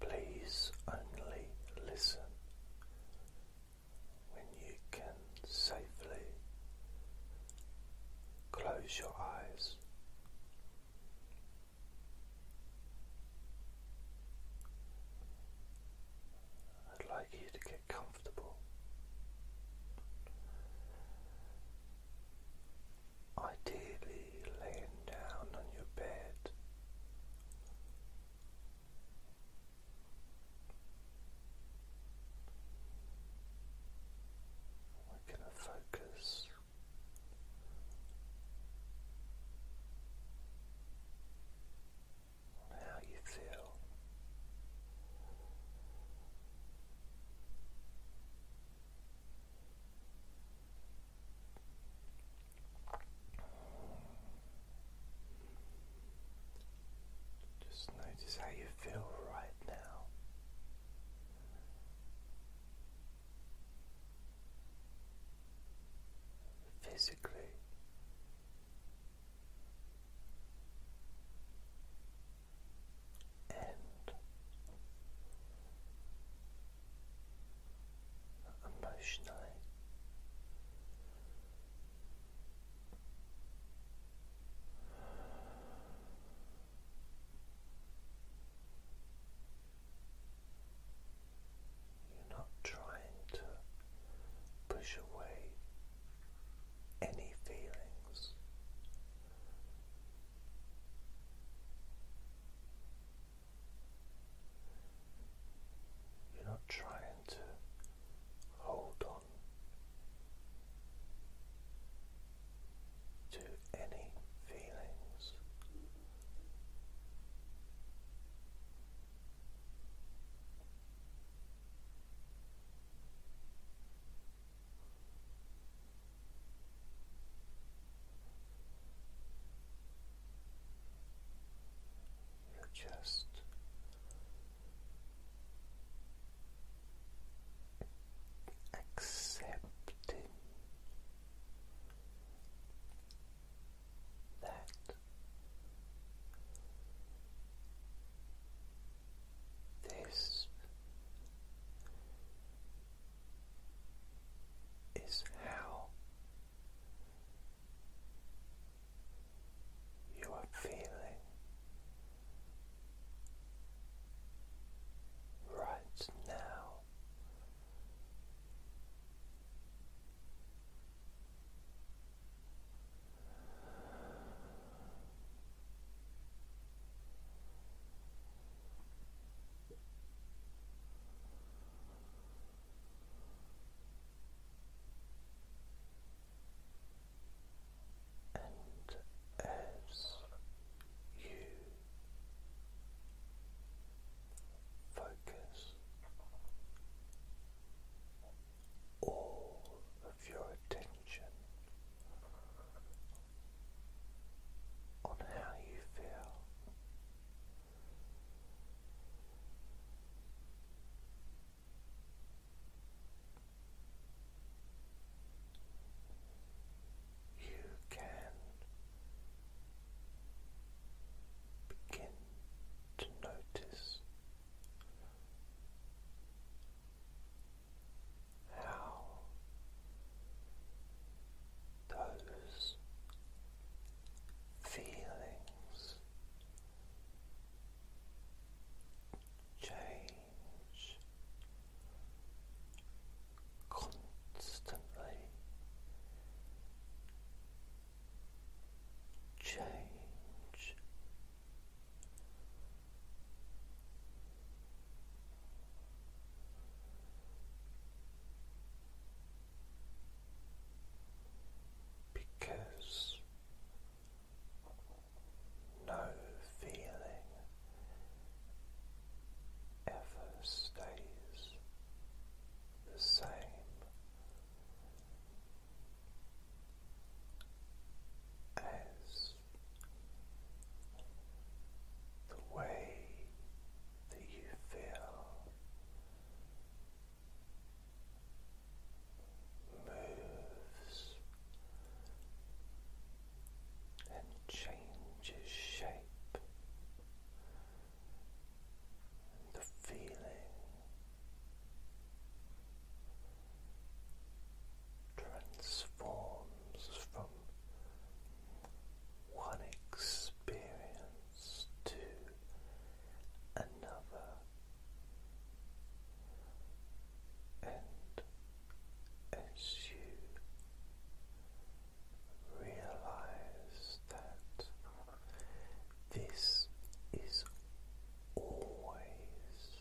Please only listen when you can safely close your eyes. I'd like you to get comfortable. Ideally, laying down on your bed. We're going to focus on how you feel. Just notice how you feel right now. Physically, and emotionally. You're not trying to push away any feelings. You're not trying to hold on to any feelings. You're just accepting that. This is how you are feeling right now. And as you focus all of your attention on how you feel. You can begin to notice how those feelings change constantly change because no feeling ever stays the same. As the way that you feel. Moves and changes shape, the feeling transforms from one experience to another, and as you realize that this is always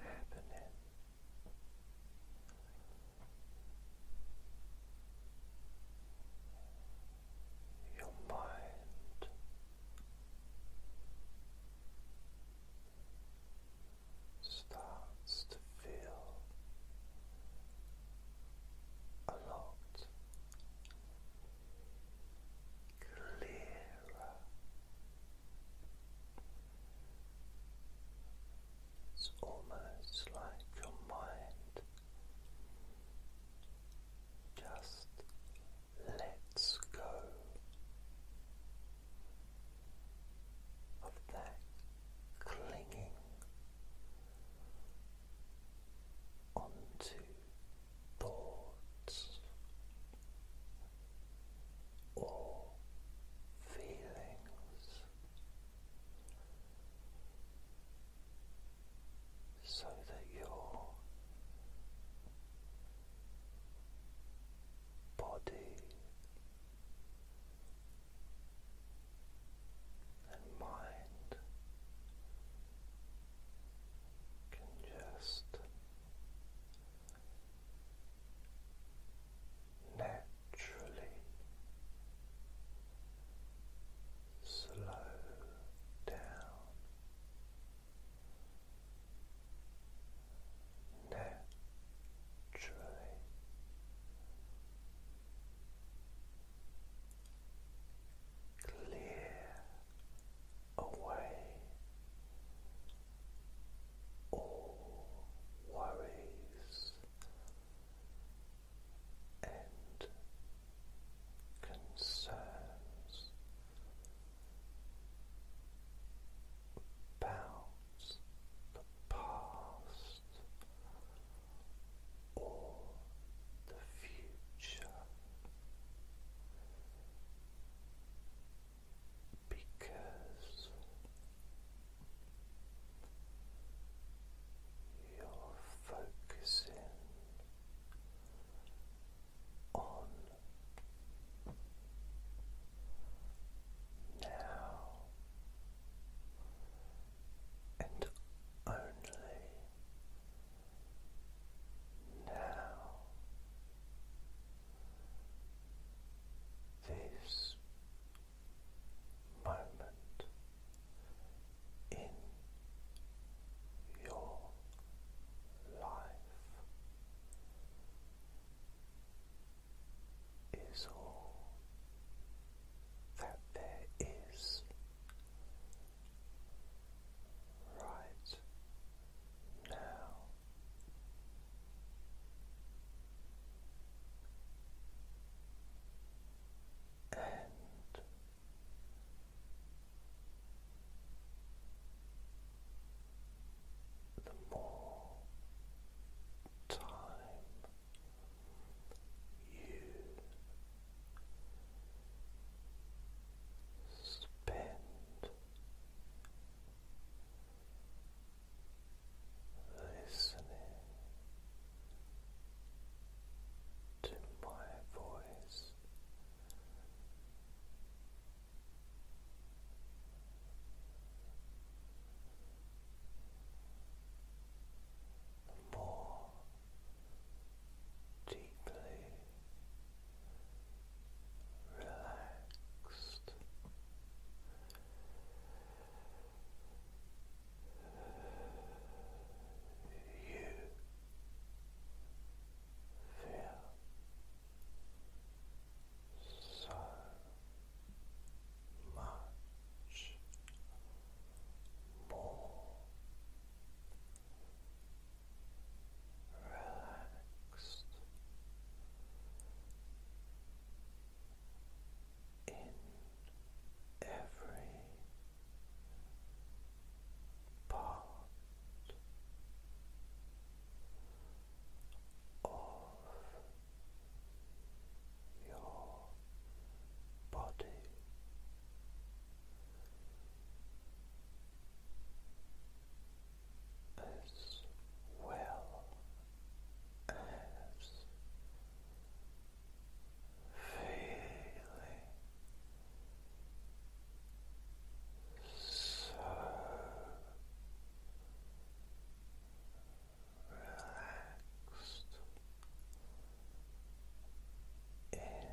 happening your mind. Starts to feel a lot clearer it's almost like your mind just lets go of that clinging onto thoughts or feelings. So that your body and mind can just naturally slow down naturally clear away all worries and concerns about the past or the future because you're focusing on now and only now this moment in your life is all that there is right now. And the more time you spend listening to my voice. More deeply relaxed. You feel so much more relaxed in every part of your body as well as feeling so relaxed in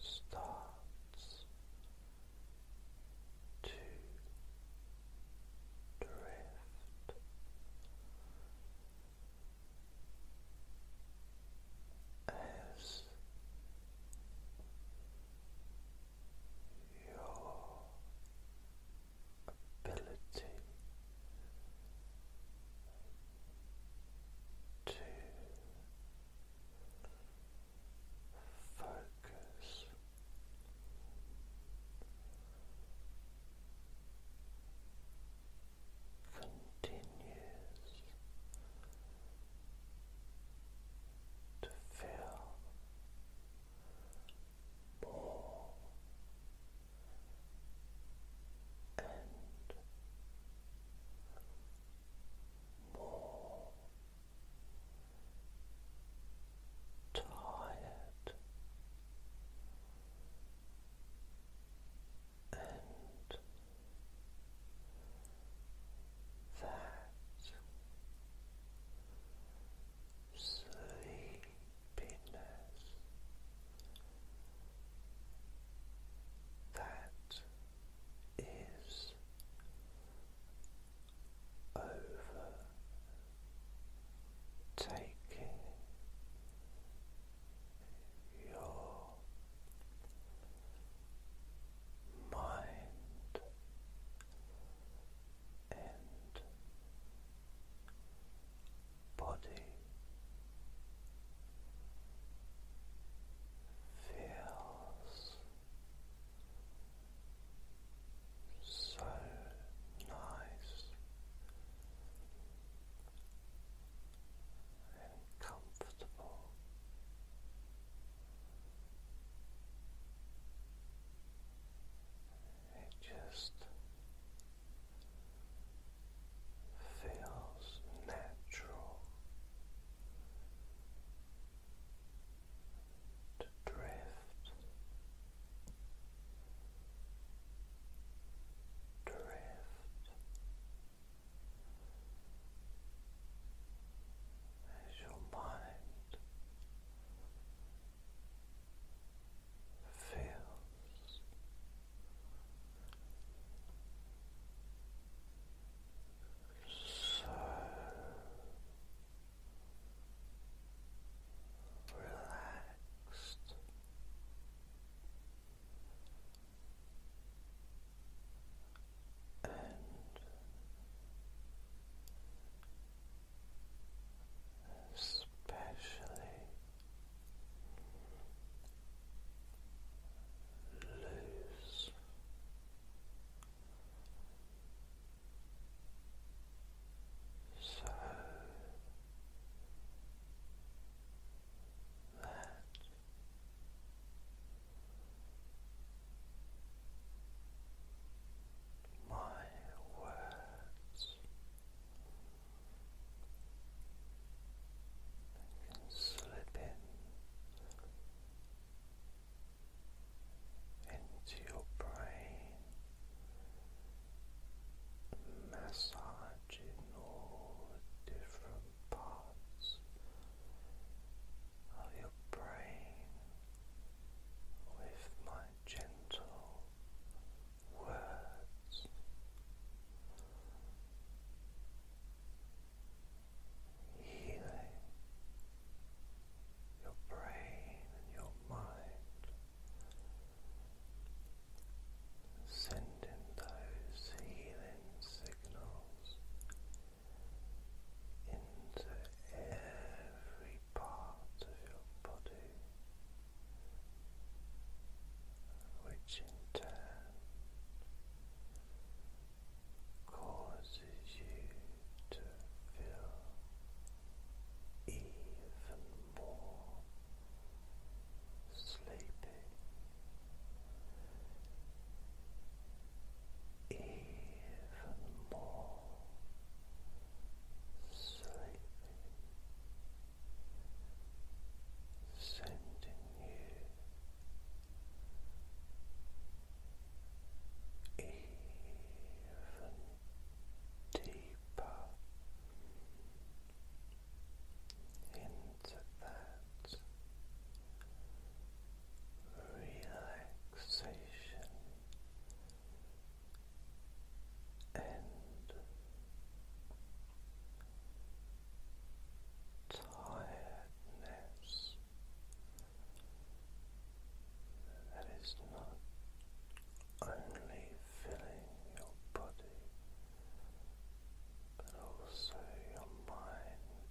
starts to drift. As your ability to focus continues to feel more and more tired and that sleepiness that is overtaking your mind and body feels so nice and comfortable. It just feels natural to drift, drift as your mind feels. So relaxed. And especially loose. So that my words slip in into your brain, massaging all different parts of your brain with my gentle words. Healing your brain and your mind, sending those healing signals into every part of your body which in turn causes you to feel even more sleepy, even more sleepy sending you even deeper into that relaxation and tiredness that is not only filling your body but also your mind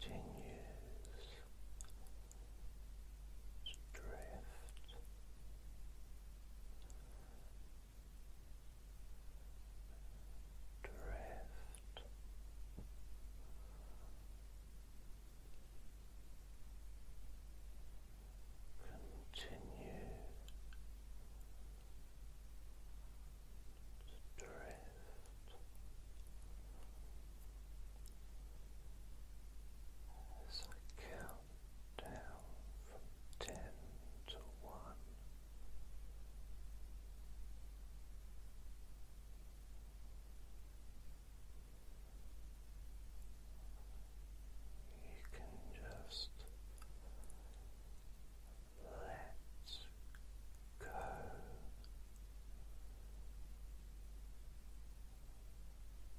continues drift drift continue drift as I count down from ten to one. You can just let go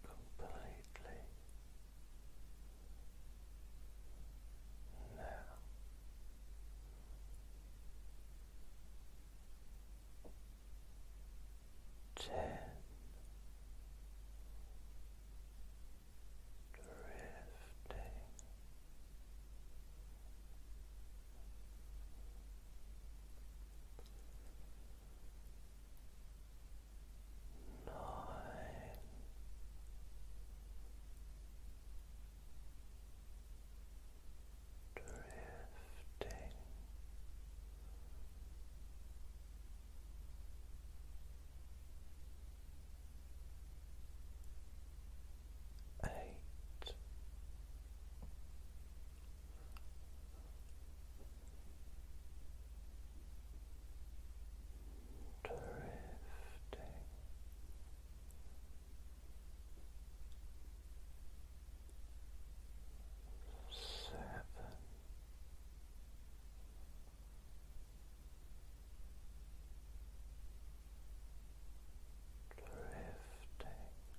completely now. Ten drifting Nine. Drifting eight drifting seven drifting